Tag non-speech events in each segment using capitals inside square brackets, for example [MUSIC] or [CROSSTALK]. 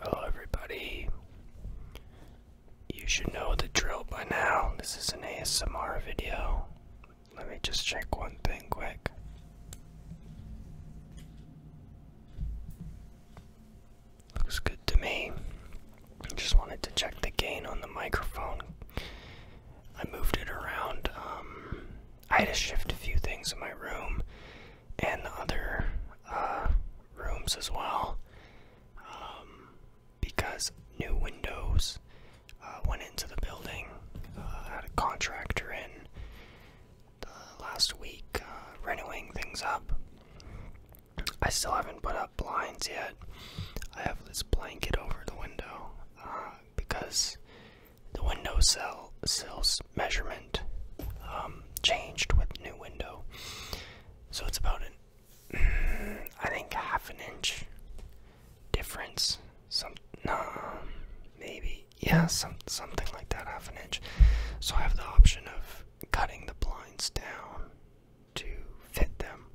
Hello, everybody. You should know the drill by now. This is an ASMR video. Let me just check one thing quick. Looks good to me. Just wanted to check the gain on the microphone. I moved it around. Um, I had to shift a few things in my room and other uh, rooms as well um, because new windows uh, went into the building uh, had a contractor in last week uh, renewing things up i still haven't put up blinds yet i have this blanket over the window because the window sill sills measurement um, changed with new window. So it's about an, [CLEARS THROAT] I think half an inch difference. Some, no, maybe, yeah, some something like that, half an inch. So I have the option of cutting the blinds down to fit them,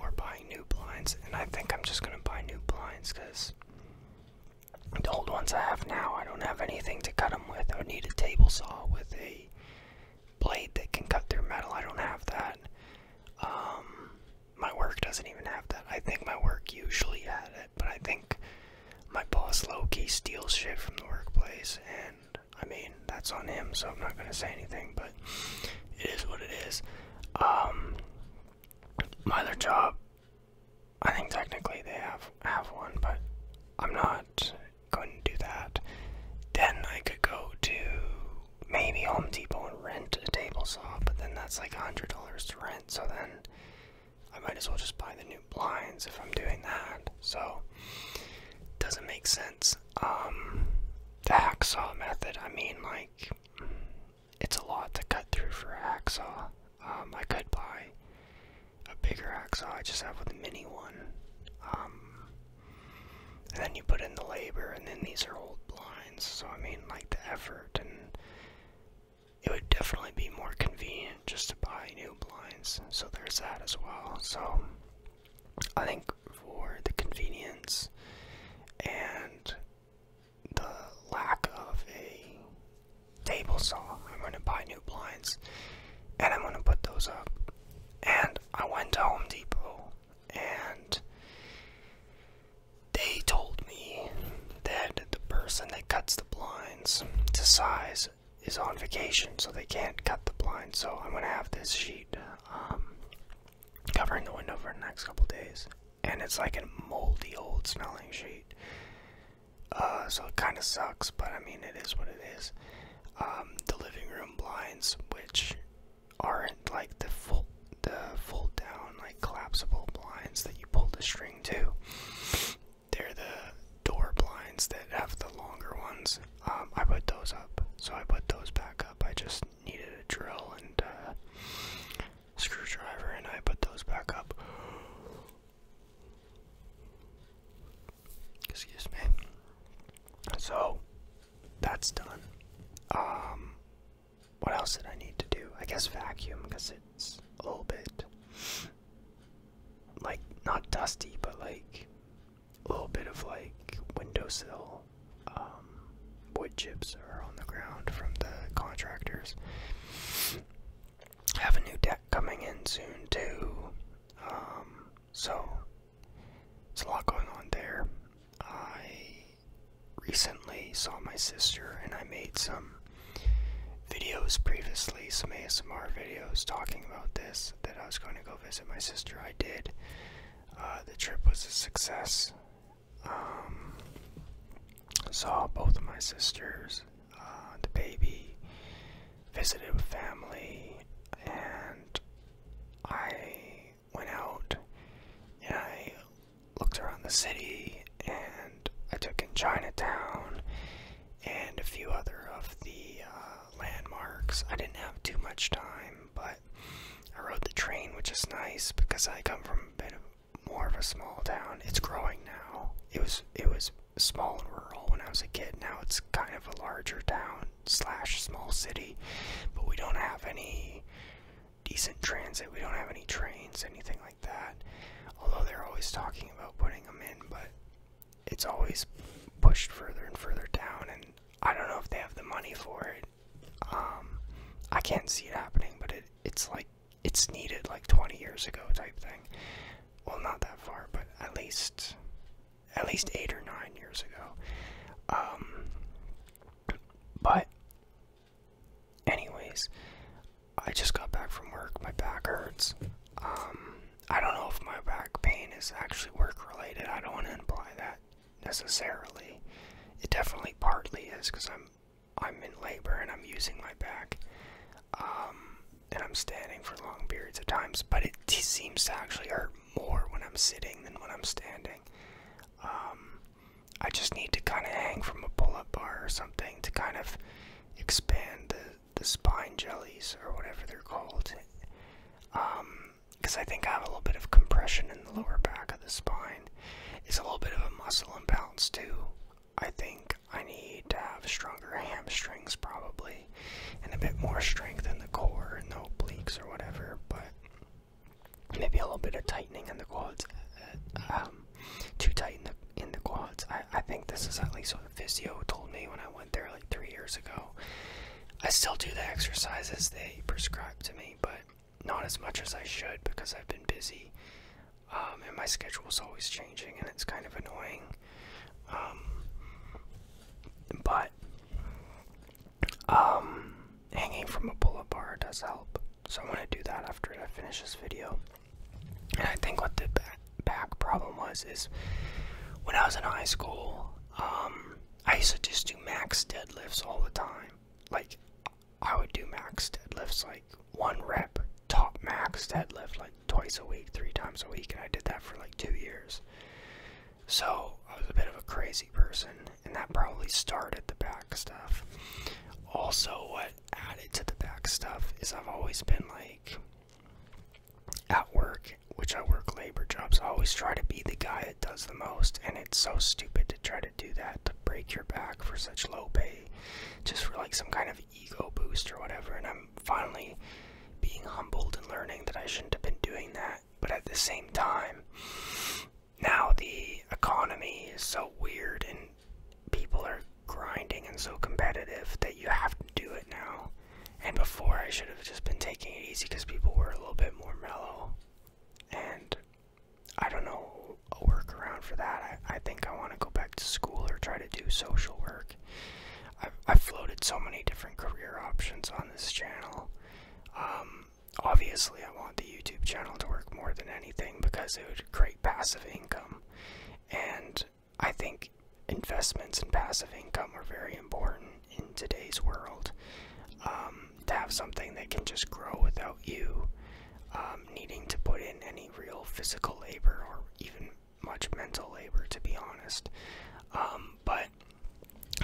or buying new blinds. And I think I'm just gonna buy new blinds because the old ones I have now, I don't have anything to cut them with. I need a table saw with a blade that can cut through metal. I don't have that. Um, my work doesn't even have that. I think my work usually had it, but I think my boss low steals shit from the workplace, and I mean, that's on him, so I'm not gonna say anything, but it is what it is. Um, my other job I think technically they have have one, but I'm not going to do that. Then I could go to maybe Home Depot and rent a table saw, but then that's like hundred dollars to rent. So then I might as well just buy the new blinds if I'm doing that. So doesn't make sense. Um, the hacksaw method. I mean, like it's a lot to cut through for a hacksaw. Um, I could buy a bigger hacksaw. I just have a mini one. Um, and then you put in the labor, and then these are old blinds. So I mean, like the effort, and it would definitely be more convenient just to buy new blinds. So there's that as well. So I think for the convenience and the lack of a table saw. I'm gonna buy new blinds, and I'm gonna put those up. And I went to Home Depot, and they told me that the person that cuts the blinds to size is on vacation, so they can't cut the blinds. So I'm gonna have this sheet um, covering the window for the next couple days, and it's like a moldy old smelling sheet. Uh, so it kind of sucks, but I mean, it is what it is. Um, the living room blinds, which aren't like the full, the fold down, like collapsible blinds that you pull the string to. They're the door blinds that have the longer ones. Um, I put those up, so I put those back up. I just needed a drill and screwdriver, and I put those back up. Excuse me. So that's done. Um, what else did I need to do? I guess vacuum because it's a little bit like not dusty, but like a little bit of like windowsill um, wood chips are on the ground from the contractors. I have a new deck coming in soon too. Um, so it's a lot going on there. I recently saw my sister and I made some videos previously, some ASMR videos talking about this that I was going to go visit my sister. I did. Uh, the trip was a success. Um, saw both of my sisters uh, the baby, visited with family, and I went out and I looked around the city and I took in Chinatown and a few other of the uh, landmarks. I didn't have too much time, but I rode the train, which is nice because I come from a bit more of a small town. It's growing now. It was it was small and rural when I was a kid. Now it's kind of a larger town slash small city, but we don't have any decent transit. We don't have any trains, anything like that. Although they're always talking about putting them in, but it's always pushed further and further down, and I don't know if they have the money for it. Um, I can't see it happening, but it, it's like it's needed like 20 years ago type thing well not that far but at least at least eight or nine years ago um but anyways i just got back from work my back hurts um i don't know if my back pain is actually work related i don't want to imply that necessarily it definitely partly is because i'm i'm in labor and i'm using my back um and I'm standing for long periods of times, but it seems to actually hurt more when I'm sitting than when I'm standing. Um, I just need to kind of hang from a pull-up bar or something to kind of expand the, the spine jellies or whatever they're called. Because um, I think I have a little bit of compression in the lower back of the spine. It's a little bit of a muscle imbalance too. I think I need to have stronger hamstrings probably and a bit more strength in the core and the obliques or whatever, but maybe a little bit of tightening in the quads. Uh, um, too in the quads. I, think this is at least what the physio told me when I went there like three years ago. I still do the exercises they prescribed to me, but not as much as I should because I've been busy. Um, and my schedule is always changing and it's kind of annoying. Um, but um, hanging from a pull-up bar does help. So I'm gonna do that after I finish this video. And I think what the back, problem was is when I was in high school, um, I used to just do max deadlifts all the time. Like I would do max deadlifts, like one rep top max deadlift like twice a week, three times a week, and I did that for like two years. So I was a bit of a crazy person, and that probably started the back stuff. Also, what added to the back stuff is I've always been like at work, which I work labor jobs, I always try to be the guy that does the most, and it's so stupid to try to do that to break your back for such low pay just for like some kind of like ego boost or whatever, and I'm finally being humbled and learning that I shouldn't have been doing that. But at the same time, now the economy is so weird and people are grinding and so competitive that you have to do it now. And before, I should have just been taking it easy because people were a little bit more mellow. And I don't know a workaround for that. I, I think I want to go back to school or try to do social work. I've, floated so many different career options on this channel. Um, obviously, I want the YouTube channel to work more than anything because it would create passive income. And I think investments and passive income are very important in today's world. Um, to have something that can just grow without you um, needing to put in any real physical labor or even much mental labor, to be honest. Um, but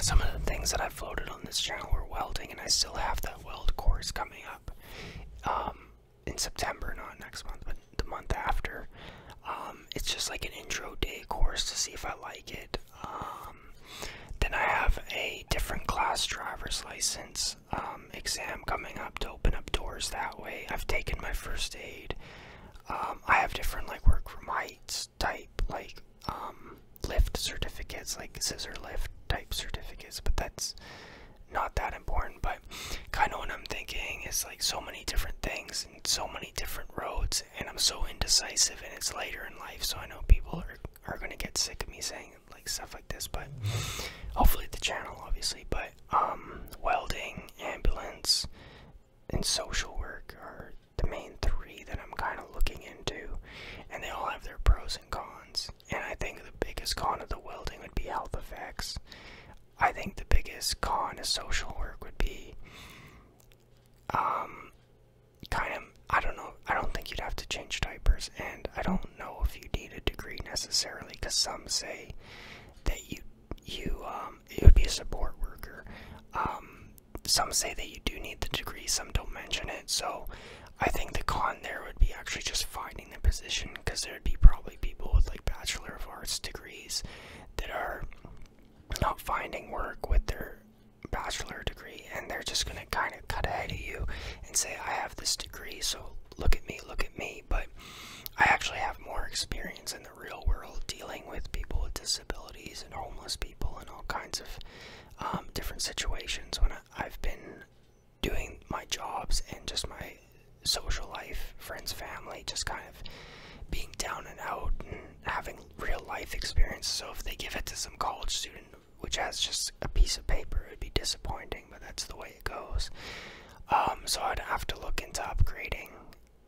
some of the things that I have floated on this channel were welding, and I still have that weld course coming up um, in September, not next month, but the month after. Um, it's just like an intro day course to see if I like it. Um, then I have a different class driver's license um, exam coming up to open up doors that way. I've taken my first aid. Um, I have different like work from type like um, lift certificates, like scissor lift type certificates, but that's not that important. But kind of what I'm thinking is like so many different things and so many different roads, and I'm so indecisive, and it's later in life, so I know people are, are gonna get sick of me saying like stuff like this, but hopefully the channel, obviously, but um, welding, ambulance, and social work are the main three that I'm kind of looking into, and they all have their pros and cons. And I think the biggest con of the welding would be health effects. I think the biggest con of social work would be, um, kind of. I don't know. I don't think you'd have to change diapers, and I don't know if you need a degree necessarily, because some say that you you um um, it would be a support worker. Um, some say that you do need the degree, some don't mention it. So I think the con there would be actually just finding the position because there would be probably people with like Bachelor of Arts degrees that are not finding work with their bachelor degree and they're just going to kind of cut ahead of you and say, I have this degree, so look at me, look at me. But I actually have more experience in the the real world dealing with people with disabilities and homeless people and all kinds of um, different situations when I, I've been doing my jobs and just my social life, friends, family, just kind of being down and out and having real life experiences. So if they give it to some college student which has just a piece of paper, it'd be disappointing, but that's the way it goes. Um, so I'd have to look into upgrading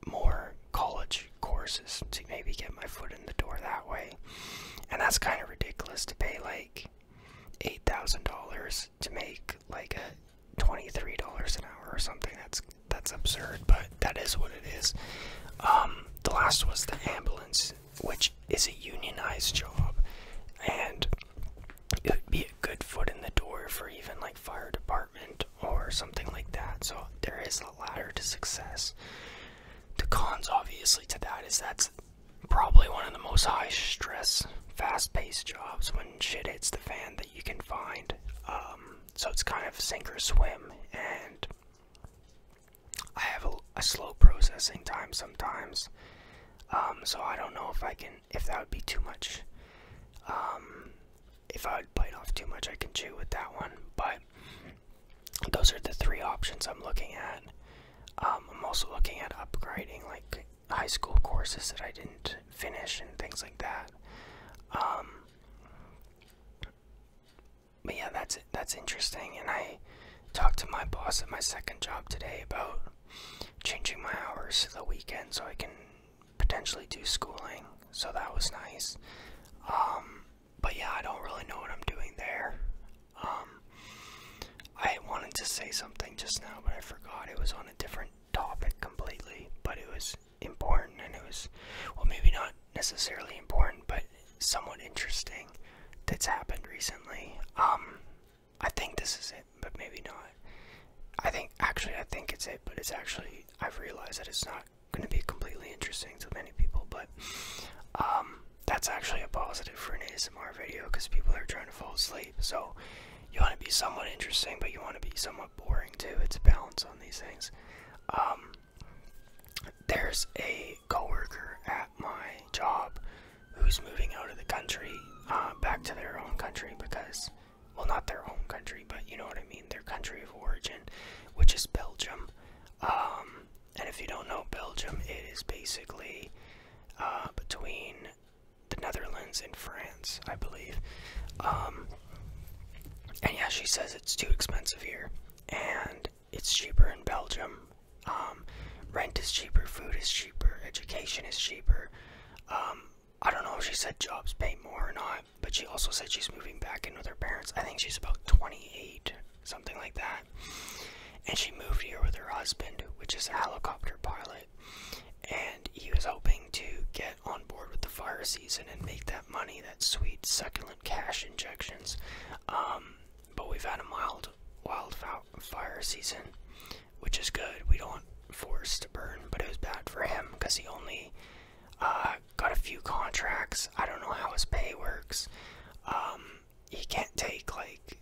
more college courses to maybe get my foot in the door that way. And that's kind of ridiculous to pay like $8,000 to make like a $23 an hour or something. That's that's absurd, but that is what it is. Um, the last was the ambulance, which is a unionized job, and it would be a good foot in the door for even like fire department or something like that. So there is a ladder to success. The cons, obviously, to that is that's probably one of the most high stress, fast paced jobs when shit hits the fan that you can find. Um, so it's kind of sink or swim, and I have a, slow processing time sometimes. Um, so I don't know if I can, if that would be too much. Um, if I bite off too much, I can chew with that one. But those are the three options I'm looking at. Um, I'm also looking at upgrading like high school courses that I didn't finish and things like that. Um, but yeah, that's that's interesting. And I talked to my boss at my second job today about changing my hours to the weekend so I can potentially do schooling, so that was nice. Um, but yeah, I don't really know what I'm doing there. Um, I wanted to say something just now, but I forgot. It was on a different topic completely, but it was important and it was, well, maybe not necessarily important, but somewhat interesting that's happened recently. Um, I think this is it, but maybe not. I think, actually, I think it's it, but it's actually, I've realized that it's not going to be completely interesting to many people, but um, that's actually a positive for an ASMR video because people are trying to fall asleep. So you want to be somewhat interesting, but you want to be somewhat boring too. It's a balance on these things. Um, there's a coworker at my job who's moving out of the country uh, back to their own country because well, not their home country, but you know what I mean, their country of origin, which is Belgium. Um, and if you don't know Belgium, it is basically uh, between the Netherlands and France, I believe. Um, and yeah, she says it's too expensive here, and it's cheaper in Belgium. Um, rent is cheaper, food is cheaper, education is cheaper. I don't know if she said jobs pay more or not, but she also said she's moving back in with her parents. I think she's about 28, something like that. And she moved here with her husband, which is a helicopter pilot. And he was hoping to get on board with the fire season and make that money, that sweet, succulent cash injections. Um, but we've had a mild wildfire season, which is good. We don't want force to burn, but it was bad for him because he only. Uh, got a few contracts. I don't know how his pay works. Um, he can't take like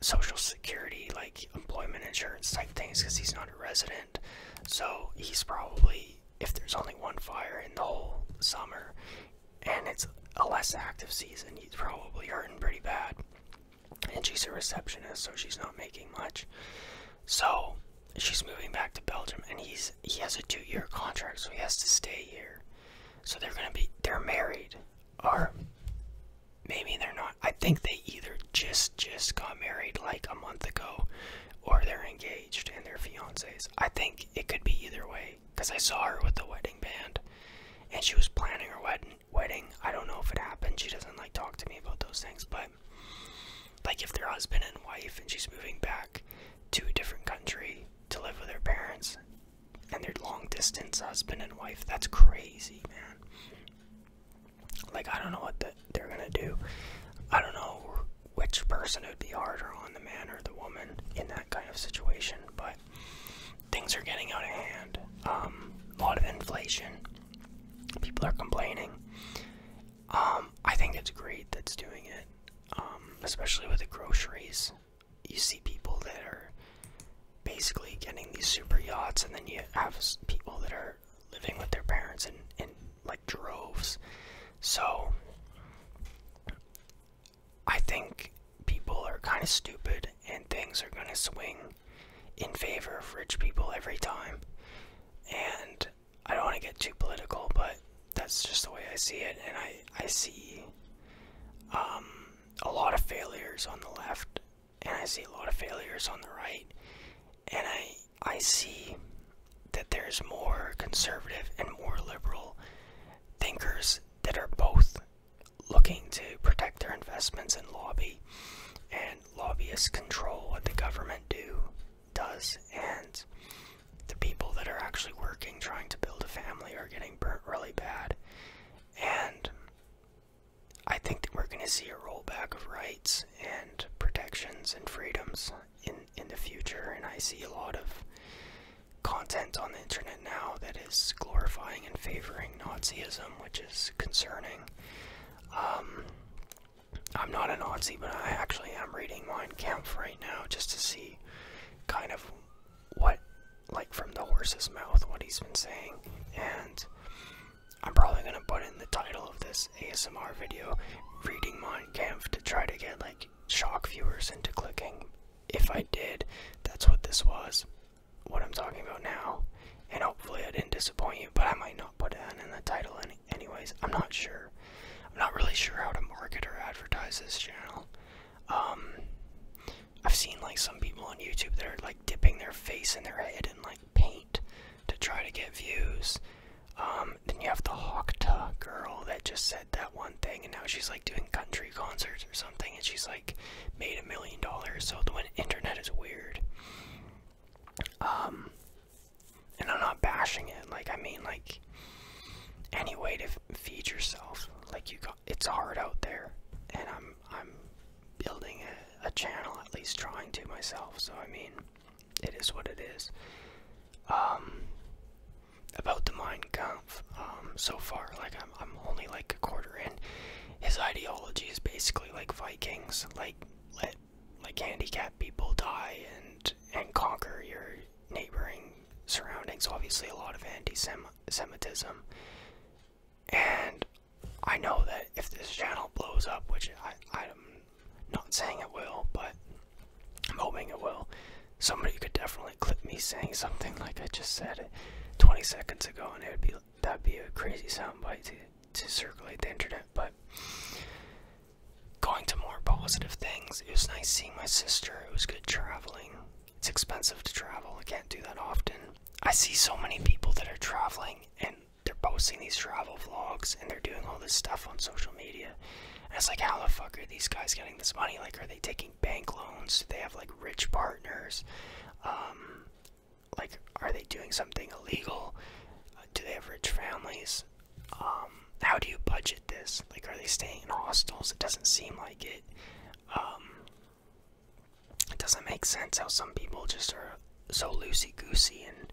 social security, like employment insurance type things, because he's not a resident. So he's probably if there's only one fire in the whole summer, and it's a less active season, he's probably hurting pretty bad. And she's a receptionist, so she's not making much. So she's moving back to Belgium, and he's he has a two-year contract, so he has to stay here. So they're gonna be they're married, or maybe they're not. I think they either just just got married like a month ago, or they're engaged and they're fiancés. I think it could be either way, cause I saw her with the wedding band, and she was planning her wedding. Wedding. I don't know if it happened. She doesn't like talk to me about those things, but like if their husband and wife and she's moving back to a different country to live with their parents and their long distance husband and wife, that's crazy, man. Like I don't know what they're gonna do. I don't know which person would be harder on, the man or the woman in that kind of situation, but things are getting out of hand. Um, a lot of inflation. People are complaining. Um, I think it's great that's doing it, um, especially with the groceries. You see people that are basically getting these super yachts, and then you have people that are living with their parents in, in like droves. So, I think people are kind of stupid, and things are going to swing in favor of rich people every time. And I don't want to get too political, but that's just the way I see it, and I I see um, a lot of failures on the left, and I see a lot of failures on the right, and I I see that there's more conservative and more liberal thinkers that are both looking to protect their investments and lobby and lobbyists control what the government do does, and the people that are actually working trying to build a family are getting burnt really bad. And I think that we're going to see a rollback of rights and protections and freedoms in in the future. And I see a lot of content on the internet now that is glorifying and favoring Nazism, which is concerning. Um, I'm not a Nazi, but I actually am reading Mein Kampf right now just to see kind of what, like from the horse's mouth, what he's been saying. And I'm probably going to put in the title of this ASMR video, Reading Mein Kampf, to try to get like shock viewers into clicking. If I did, that's what this was, what I'm talking about now. And hopefully I didn't disappoint you, but I might not put it in the title anyway. Anyways, I'm not sure. I'm not really sure how to market or advertise this channel. Um, I've seen like some people on YouTube that are like dipping their face in their head in like paint to try to get views. Um, then you have the Hawkta girl that just said that one thing, and now she's like doing country concerts or something, and she's like made a million dollars. So the internet is weird. Um, and I'm not bashing it. Like I mean, like any way to feed yourself. Like you got, it's hard out there, and I'm I'm building a, channel, at least trying to myself. So I mean, it is what it is. Um, about the mind Kampf, um, so far, like I'm I'm only like a quarter in. His ideology is basically like Vikings, like let like handicapped people die and and conquer your neighboring surroundings. Obviously, a lot of anti-Semitism, and I know that if this channel blows up, which I am not saying it will, but I'm hoping it will. Somebody could definitely clip me saying something [LAUGHS] like I just said 20 seconds ago, and it would be that'd be a crazy soundbite to to circulate the internet. But going to more positive things. It was nice seeing my sister. It was good traveling. It's expensive to travel. I can't do that often. I see so many people that are traveling and they're posting these travel vlogs and they're doing all this stuff on social media. And it's like, how the fuck are these guys getting this money? Like, are they taking bank loans? Do they have like rich partners? Um, like, are they doing something illegal? Uh, do they have rich families? Um, how do you budget this? Like, are they staying in hostels? It doesn't seem like it. Um, it doesn't make sense how some people just are so loosey goosey, and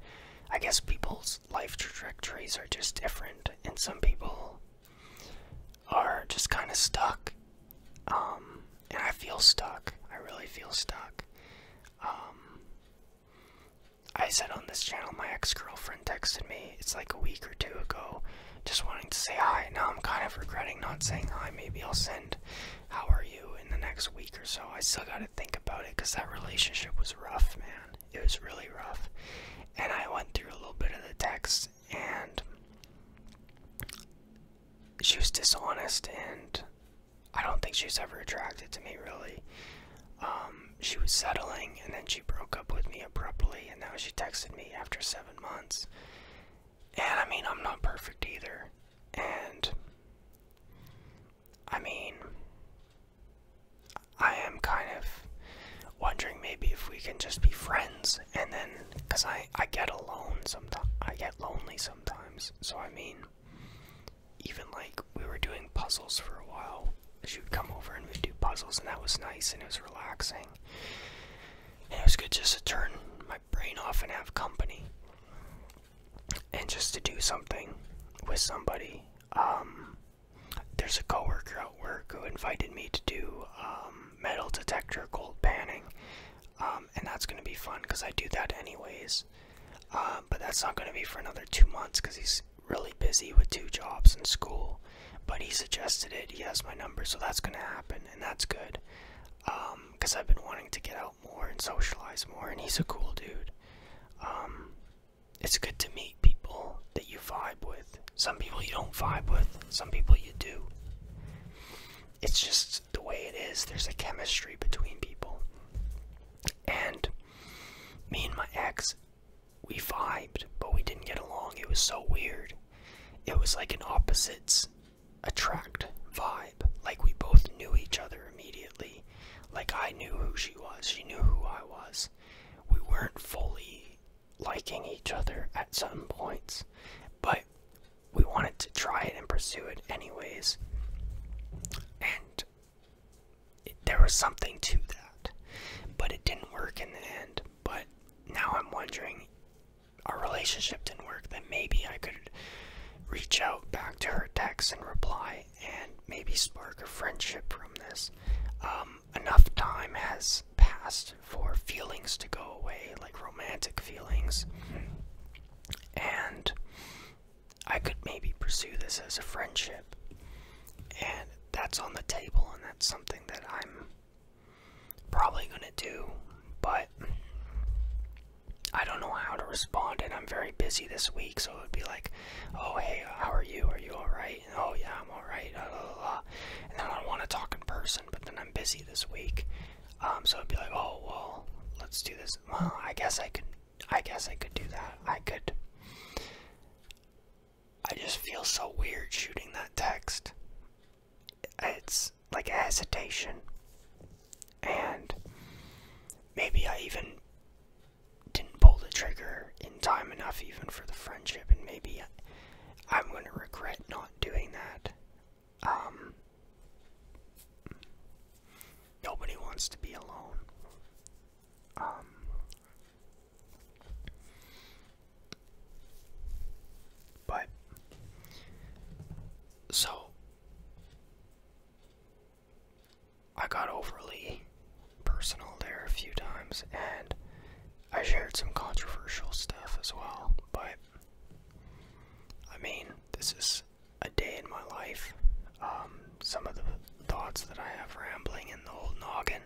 I guess people's life trajectories are just different, and some people are just kind of stuck. Um, and I feel stuck. I really feel stuck. I said on this channel, my ex girlfriend texted me, it's like a week or two ago, just wanting to say hi. Now I'm kind of regretting not saying hi. Maybe I'll send, How are you, in the next week or so. I still got to think about it because that relationship was rough, man. It was really rough. And I went through a little bit of the text, and she was dishonest, and I don't think she was ever attracted to me, really. Um, she was settling and then she broke up with me abruptly, and now she texted me after seven months. And I mean, I'm not perfect either. And I mean, I am kind of wondering maybe if we can just be friends and then because I, I get alone sometimes I get lonely sometimes so I mean even like we were doing puzzles for a while she would come over and we'd do puzzles, and that was nice and it was relaxing. And it was good just to turn my brain off and have company, and just to do something with somebody. Um, there's a coworker at work who invited me to do um, metal detector gold panning, um, and that's going to be fun because I do that anyways. Uh, but that's not going to be for another two months because he's really busy with two jobs and school, but he suggested it. He has my number, so that's going to happen, and that's good. Because um, I've been wanting to get out more and socialize more, and he's a cool dude. Um, it's good to meet people that you vibe with. Some people you don't vibe with, some people you do. It's just the way it is. There's a chemistry between people. And me and my ex we vibed, but we didn't get along. It was so weird. It was like an opposites attract vibe. Like we both knew each other immediately. Like I knew who she was, she knew who I was. We weren't fully liking each other at some points, but we wanted to try it and pursue it anyways. And there was something to that, but it didn't work in the end. But now I'm wondering, our relationship didn't work. Then maybe I could reach out back to her text and reply, and maybe spark a friendship from this. Um, enough time has passed for feelings to go away, like romantic feelings, and I could maybe pursue this as a friendship. And that's on the table and that's something that I'm probably gonna do, but I don't know how to respond and I'm very busy this week, so it would be like, oh hey, how are you? Are you alright? Oh yeah, I'm alright, blah, blah, blah. And then I wanna talk in person, but then I'm busy this week. Um, so it'd be like, oh well, let's do this. Well, I guess I could I guess I could do that. I could I just feel so weird shooting that text. It's like a hesitation. And maybe I even didn't pull the trigger in time enough, even for the friendship, and maybe I'm going to regret not doing that. Um, nobody wants to be alone. Um, but so I got overly personal there a few times and I shared some controversial stuff as well, but I mean, this is a day in my life. Um, some of the thoughts that I have rambling in the old noggin.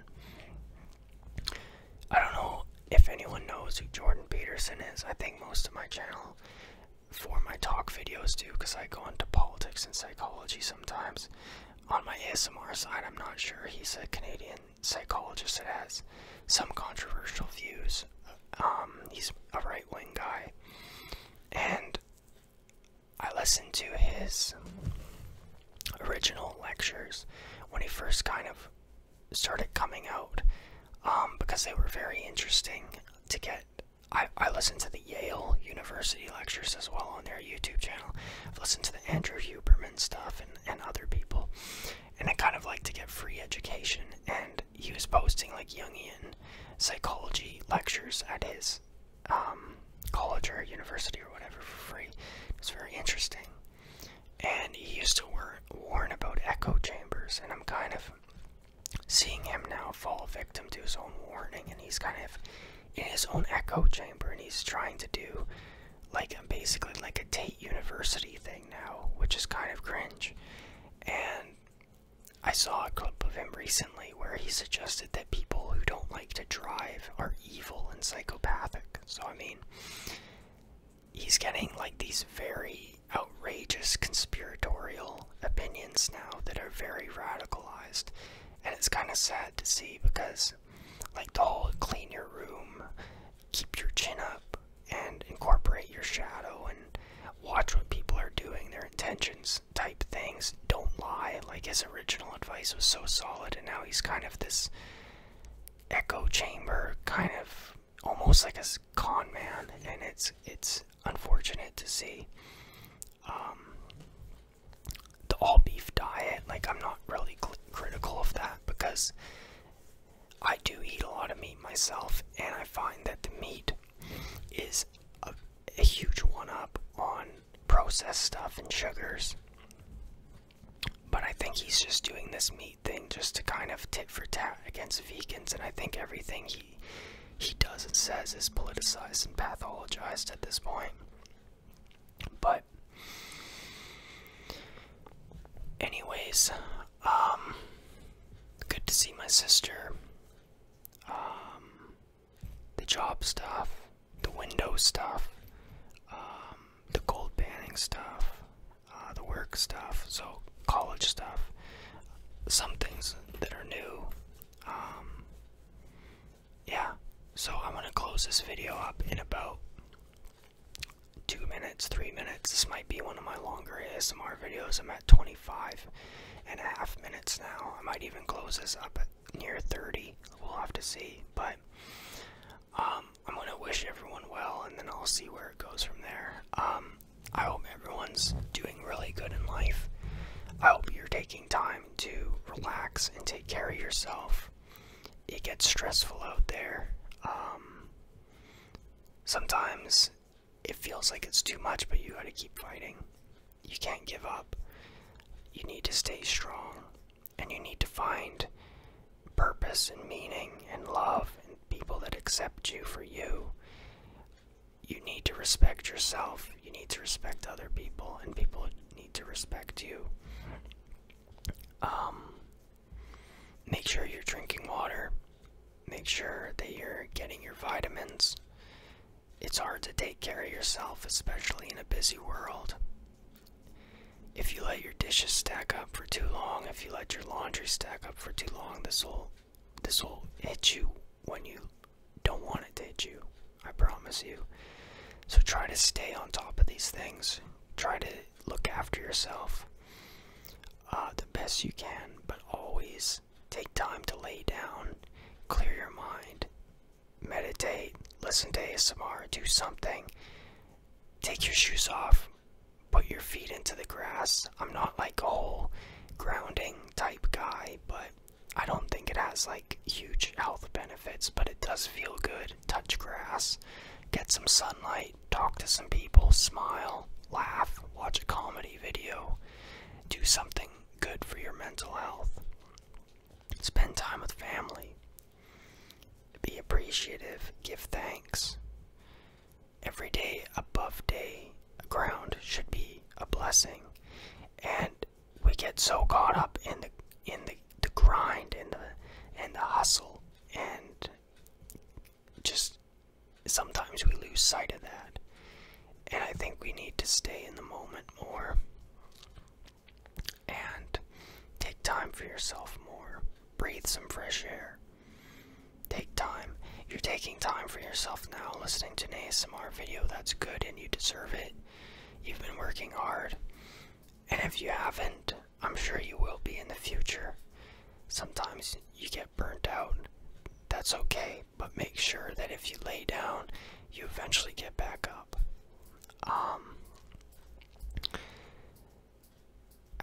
I don't know if anyone knows who Jordan Peterson is. I think most of my channel for my talk videos do because I go into politics and psychology sometimes. On my ASMR side, I'm not sure. He's a Canadian psychologist that has some controversial views. Um, he's a right wing guy. And I listened to his original lectures when he first kind of started coming out um, because they were very interesting to get. I, listened to the Yale University lectures as well on their YouTube channel. I've listened to the Andrew Huberman stuff and, and other people. And I kind of like to get free education. And he was posting like Jungian psychology lectures at his um, college or university or whatever for free. It was very interesting. And he used to wor warn about echo chambers, and I'm kind of seeing him now fall victim to his own warning, and he's kind of in his own echo chamber, and he's trying to do like basically like a Tate University thing now, which is kind of cringe. And I saw a clip of him recently where he suggested that people who don't like to drive are evil and psychopathic. So, I mean, he's getting like these very outrageous conspiratorial opinions now that are very radicalized. And it's kind of sad to see because, like, the whole clean your room, keep your chin up, and incorporate your shadow and watch what people are doing, their intentions type things, don't lie, like his original advice was so solid, and now he's kind of this echo chamber, kind of almost like a con man, and it's it's unfortunate to see. Um, the all beef diet, like I'm not really critical of that because I do eat a lot of meat myself, and I find that the meat is a huge one up on processed stuff and sugars. But I think he's just doing this meat thing just to kind of tit for tat against vegans, and I think everything he he does and says is politicized and pathologized at this point. But anyways, um good to see my sister. Um the job stuff, the window stuff, um, the gold panning stuff, uh, the work stuff, so college stuff, some things that are new. Um, yeah, so I'm going to close this video up in about two minutes, three minutes. This might be one of my longer ASMR videos. I'm at 25 and a half minutes now. I might even close this up near 30. We'll have to see. But um, I'm going to wish everyone well, and then I'll see where it goes from there. Um, I hope everyone's doing really good in life. I hope you're taking time to relax and take care of yourself. It gets stressful out there. Um, sometimes it feels like it's too much, but you gotta keep fighting. You can't give up. You need to stay strong and you need to find purpose and meaning and love and people that accept you for you. You need to respect yourself, you need to respect other people, and people need to respect you. Um, make sure you're drinking water, make sure that you're getting your vitamins. It's hard to take care of yourself, especially in a busy world. If you let your dishes stack up for too long, if you let your laundry stack up for too long, this will this will hit you when you don't want it to hit you. I promise you. So try to stay on top of these things. Try to look after yourself uh, the best you can, but always take time to lay down, clear your mind, meditate, listen to ASMR, do something. Take your shoes off, put your feet into the grass. I'm not like a whole grounding type guy, but I don't think it has like huge health benefits, but it does feel good. Touch grass, get some sunlight, talk to some people, smile, laugh, watch a comedy video, do something good for your mental health. Spend time with family, be appreciative, give thanks. Every day above day ground should be a blessing. And we get so caught up in the in the, the grind and the and the hustle and just sometimes we lose sight of that. And I think we need to stay in the moment more and take time for yourself more. Breathe some fresh air. Take time. You're taking time for yourself now listening to an ASMR video. That's good and you deserve it. You've been working hard. And if you haven't, I'm sure you will be in the future. Sometimes you get burnt out. That's okay, but make sure that if you lay down, you eventually get back up. Um,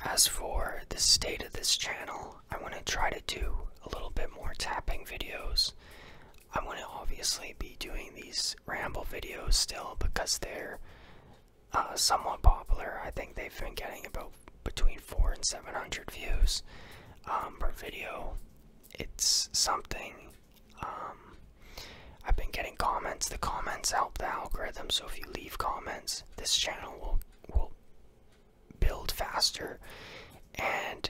as for the state of this channel, I want to try to do a little bit more tapping videos. I want to obviously be doing these ramble videos still because they're uh, somewhat popular. I think they've been getting about between four and seven hundred views um, per video. It's something um, I've been getting comments. The comments help the algorithm, so if you leave comments, this channel will will build faster. And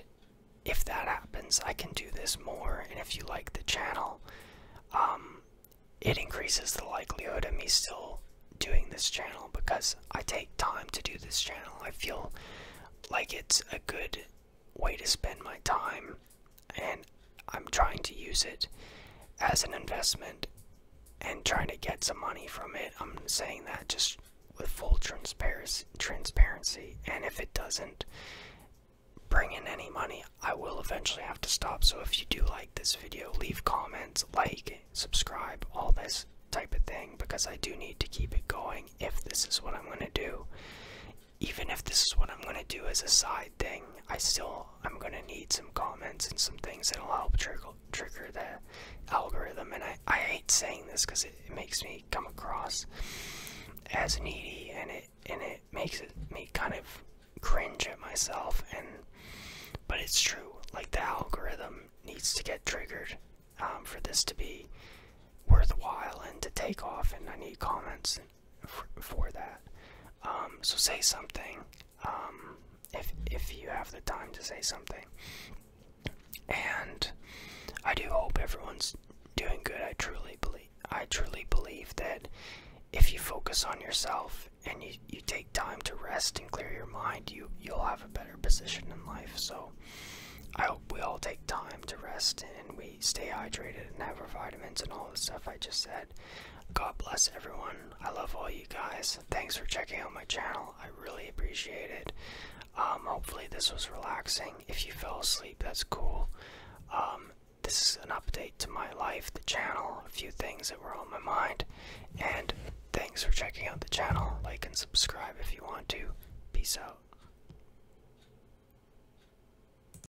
if that happens, I can do this more. And if you like the channel, um, it increases the likelihood of me still doing this channel because I take time to do this channel. I feel like it's a good way to spend my time, and I'm trying to use it as an investment and trying to get some money from it. I'm saying that just with full transparency. Transparency, and if it doesn't bring in any money, I will eventually have to stop. So if you do like this video, leave comments, like, subscribe, all this type of thing because I do need to keep it going if this is what I'm going to do even if this is what I'm gonna do as a side thing, I still I'm gonna need some comments and some things that'll help trigger trigger the algorithm. And I I hate saying this because it, makes me come across as needy, and it and it makes me kind of cringe at myself. And but it's true. Like the algorithm needs to get triggered um, for this to be worthwhile and to take off. And I need comments for, that. Um, so say something um, if if you have the time to say something. And I do hope everyone's doing good. I truly believe I truly believe that if you focus on yourself and you, you take time to rest and clear your mind, you you'll have a better position in life. So I hope we all take time to rest and we stay hydrated and have your vitamins and all the stuff I just said. God bless everyone. I love all you guys. Thanks for checking out my channel. I really appreciate it. Um, hopefully this was relaxing. If you fell asleep, that's cool. Um, this is an update to my life, the channel, a few things that were on my mind. And thanks for checking out the channel. Like and subscribe if you want to. Peace out.